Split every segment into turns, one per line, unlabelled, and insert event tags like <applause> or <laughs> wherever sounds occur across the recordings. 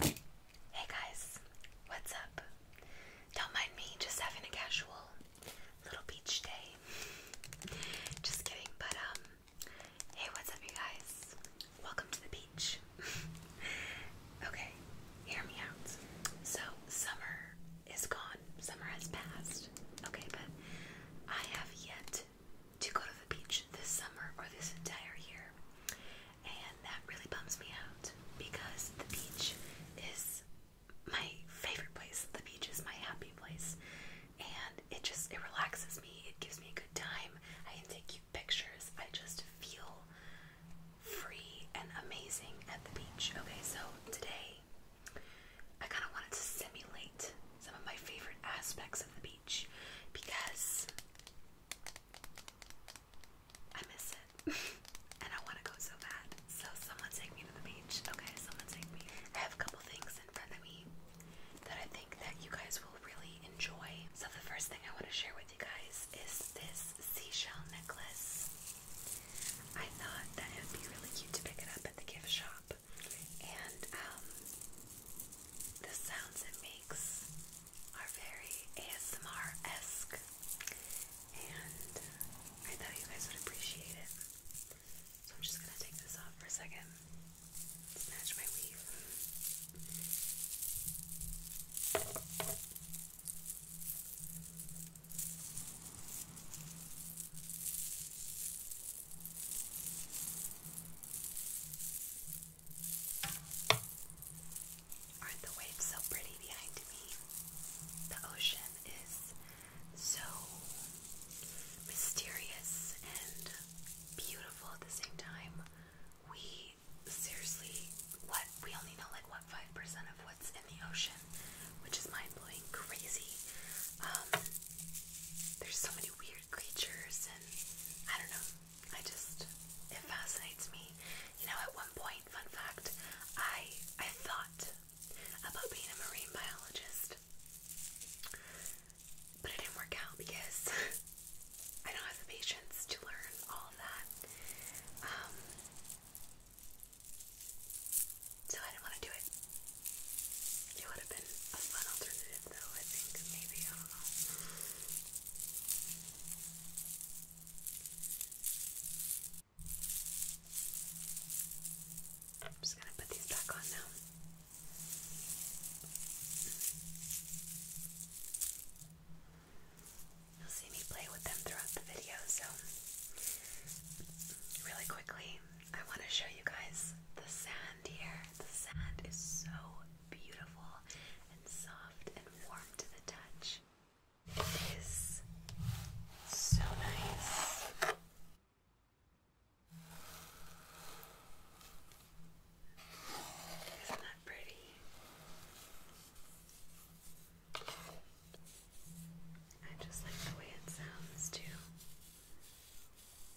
Hey guys, what's up? Don't mind me, just having a casual little beach day. Just kidding, but um, hey, what's up, you guys? Welcome to the beach. <laughs> okay, hear me out. So, summer is gone, summer has passed. Okay, but I have yet to go to the beach this summer or this entire year and that really bums me out because the beach is my favorite place. The beach is my happy place, and it just it relaxes me. It gives me a good time. I can take cute pictures. I just feel free and amazing at the beach. Okay, so today I kind of wanted to simulate some of my favorite aspects of the beach because I miss it. <laughs> and I want to go so bad. So someone take me to the beach. Okay, someone take me. I have a couple things in front of me that I think that you guys will really enjoy. So the first thing I want to share with you guys is this seashell necklace. I thought that it would be really cute to pick it up at the gift shop. And um, the sounds it makes are very ASMR-esque and I thought you guys would appreciate it. So I'm just gonna take this off for a second. Snatch my weave. Aren't the waves so pretty behind me? The ocean is so mysterious and beautiful at the same time. We seriously, what we only know like what 5% of what's in the ocean, which is mind blowing crazy. Um, there's so many weird creatures, and I don't know, I just it fascinates me. You know, at one point, fun fact, I I thought about being a marine biologist. But it didn't work out because <laughs> I don't have the patience to learn all of that. Um so I didn't want to do it. It would have been a fun alternative though, I think. Maybe, I'm just going to put these back on now. You'll see me play with them throughout the video, so really quickly, I want to show you guys the sand here. The sand is so beautiful and soft and warm to the touch. It is so nice. Isn't that pretty? I just like the way it sounds too.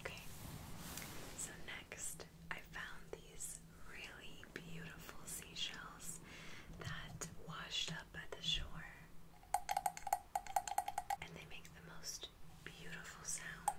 Okay, so next I found these really beautiful seashells that washed up at the shore. And they make the most beautiful sound.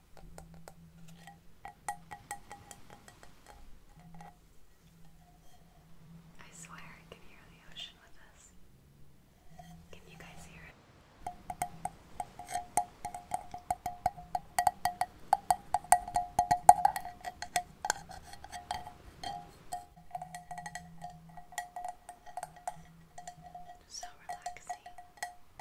I swear I can hear the ocean with us. Can you guys hear it? So relaxing.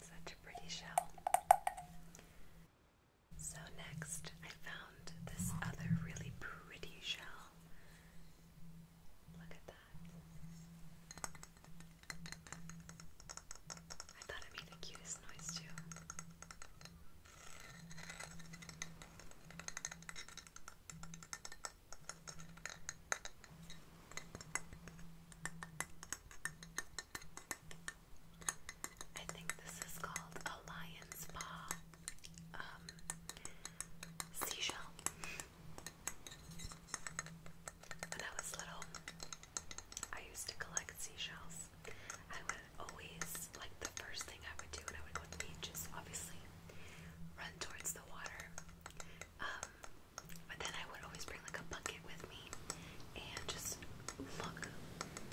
Such a pretty shell. So, next, I found this other really pretty shell. Look at that. I thought it made the cutest noise, too. I think this is called a lion's paw um, seashell. When I was little, I used to collect seashells always, like the first thing I would do when I would go to the beach is obviously run towards the water. Um, but then I would always bring like a bucket with me and just look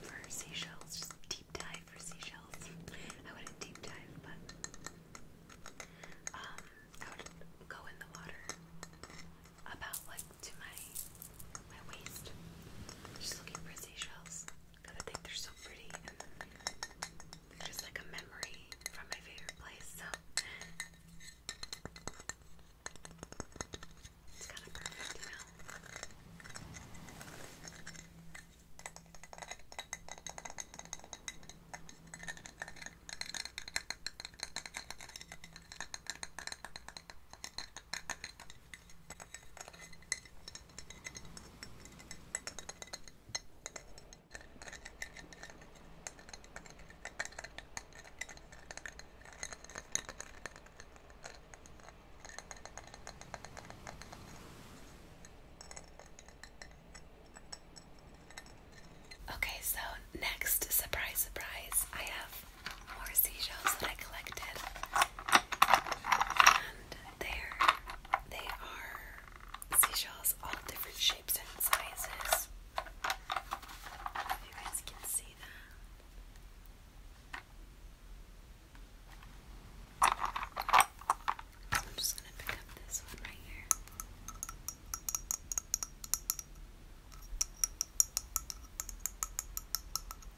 for seashells, just deep dive for seashells. I wouldn't deep dive, but um, I would go in the water about like to my my waist, just looking for seashells. Cause I think they're so pretty. They're just like a memory from my favorite place, so it's kind of perfect, you Okay, so next, surprise, surprise, I have more seashells that I collected. And there they are seashells, all different shapes and sizes. you guys can see that. I'm just gonna pick up this one right here.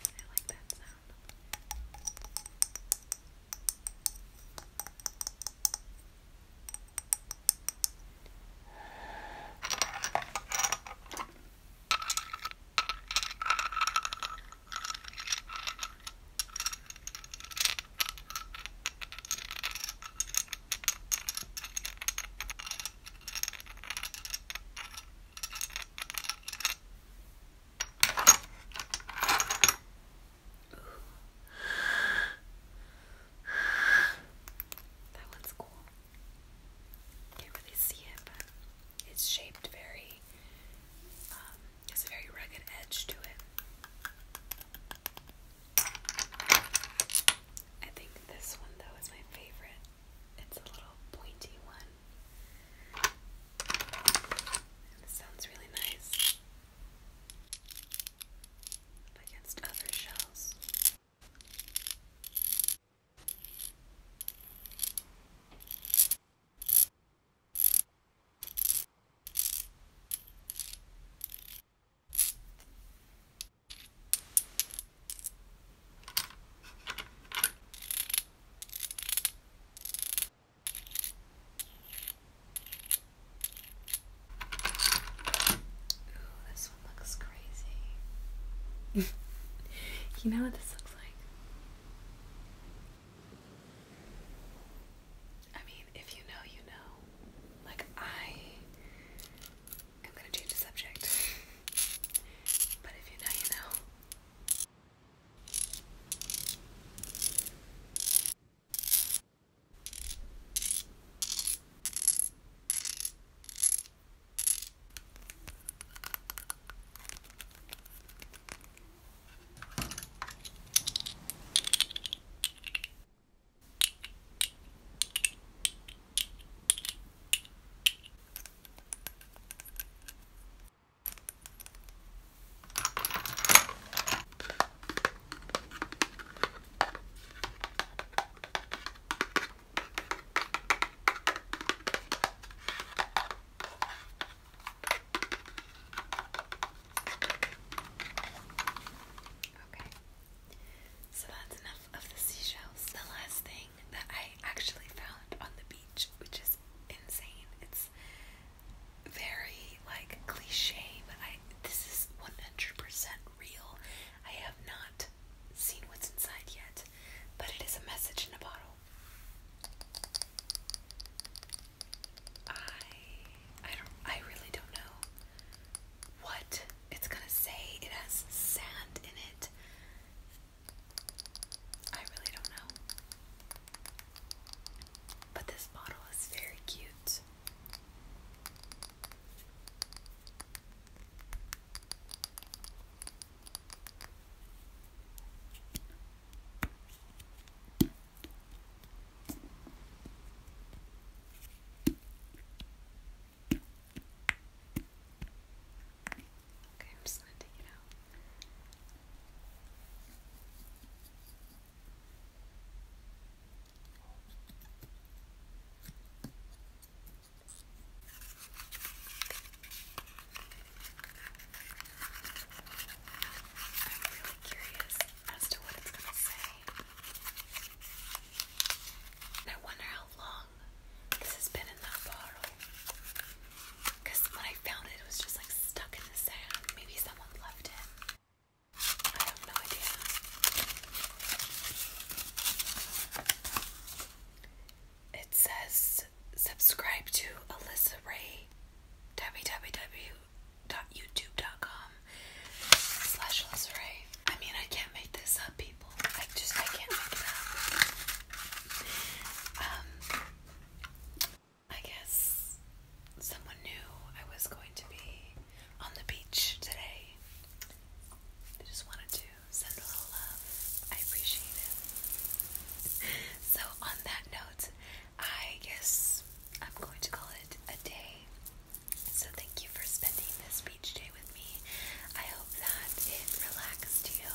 I like that sound. I that one's cool. Can't really see it, but it's shaped very. it's um, a very rugged edge to it. I think this one though is my favorite. It's a little pointy one. sounds really nice against other shells. Oh, this one looks crazy. <laughs> you know what this looks like? I mean, if you know, you know. Like, I I'm gonna change the subject. But if you know, you know. Okay, so that's enough of the seashells. The last thing that I actually found on the beach, which is insane. It's very like cliche, but I this is 100% real. I have not seen what's inside yet, but it is a message in a bottle. I I don't I really don't know what it's gonna say. It has sand in it. I really don't know. But this bottle is very cute. Okay, I'm just gonna take it out. I'm really curious as to what it's gonna say. I wonder how long this has been in that bottle. Because when I found it, it was just like stuck in the sand. Maybe someone left it. I have no idea. It says subscribe to Alyssa Ray www.youtube.com slash Alyssa Ray. I mean, I can't make this up, people. I just, I can't make it up. Um, I guess someone knew I was going to be on the beach today. I just wanted to send a little love. I appreciate it. So, on that note, I guess I'm going to call it a day. So, thank you for spending this beach day with I hope that it relaxed you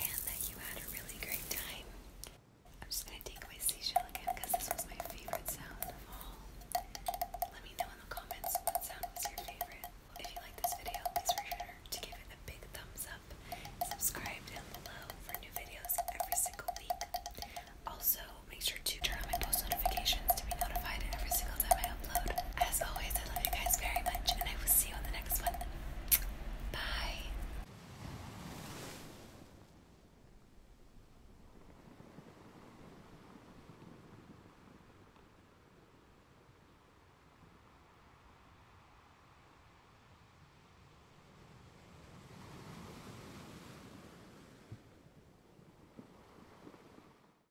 and that you had a really great time. I'm just gonna take my seashell again because this was my favorite sound of all. Let me know in the comments what sound was your favorite. If you liked this video, please remember to give it a big thumbs up. Subscribe down below for new videos every single week. Also, make sure to turn on my post notifications to be notified every single time I upload. As always, I love you guys very much, and I will see you on the next one. Bye.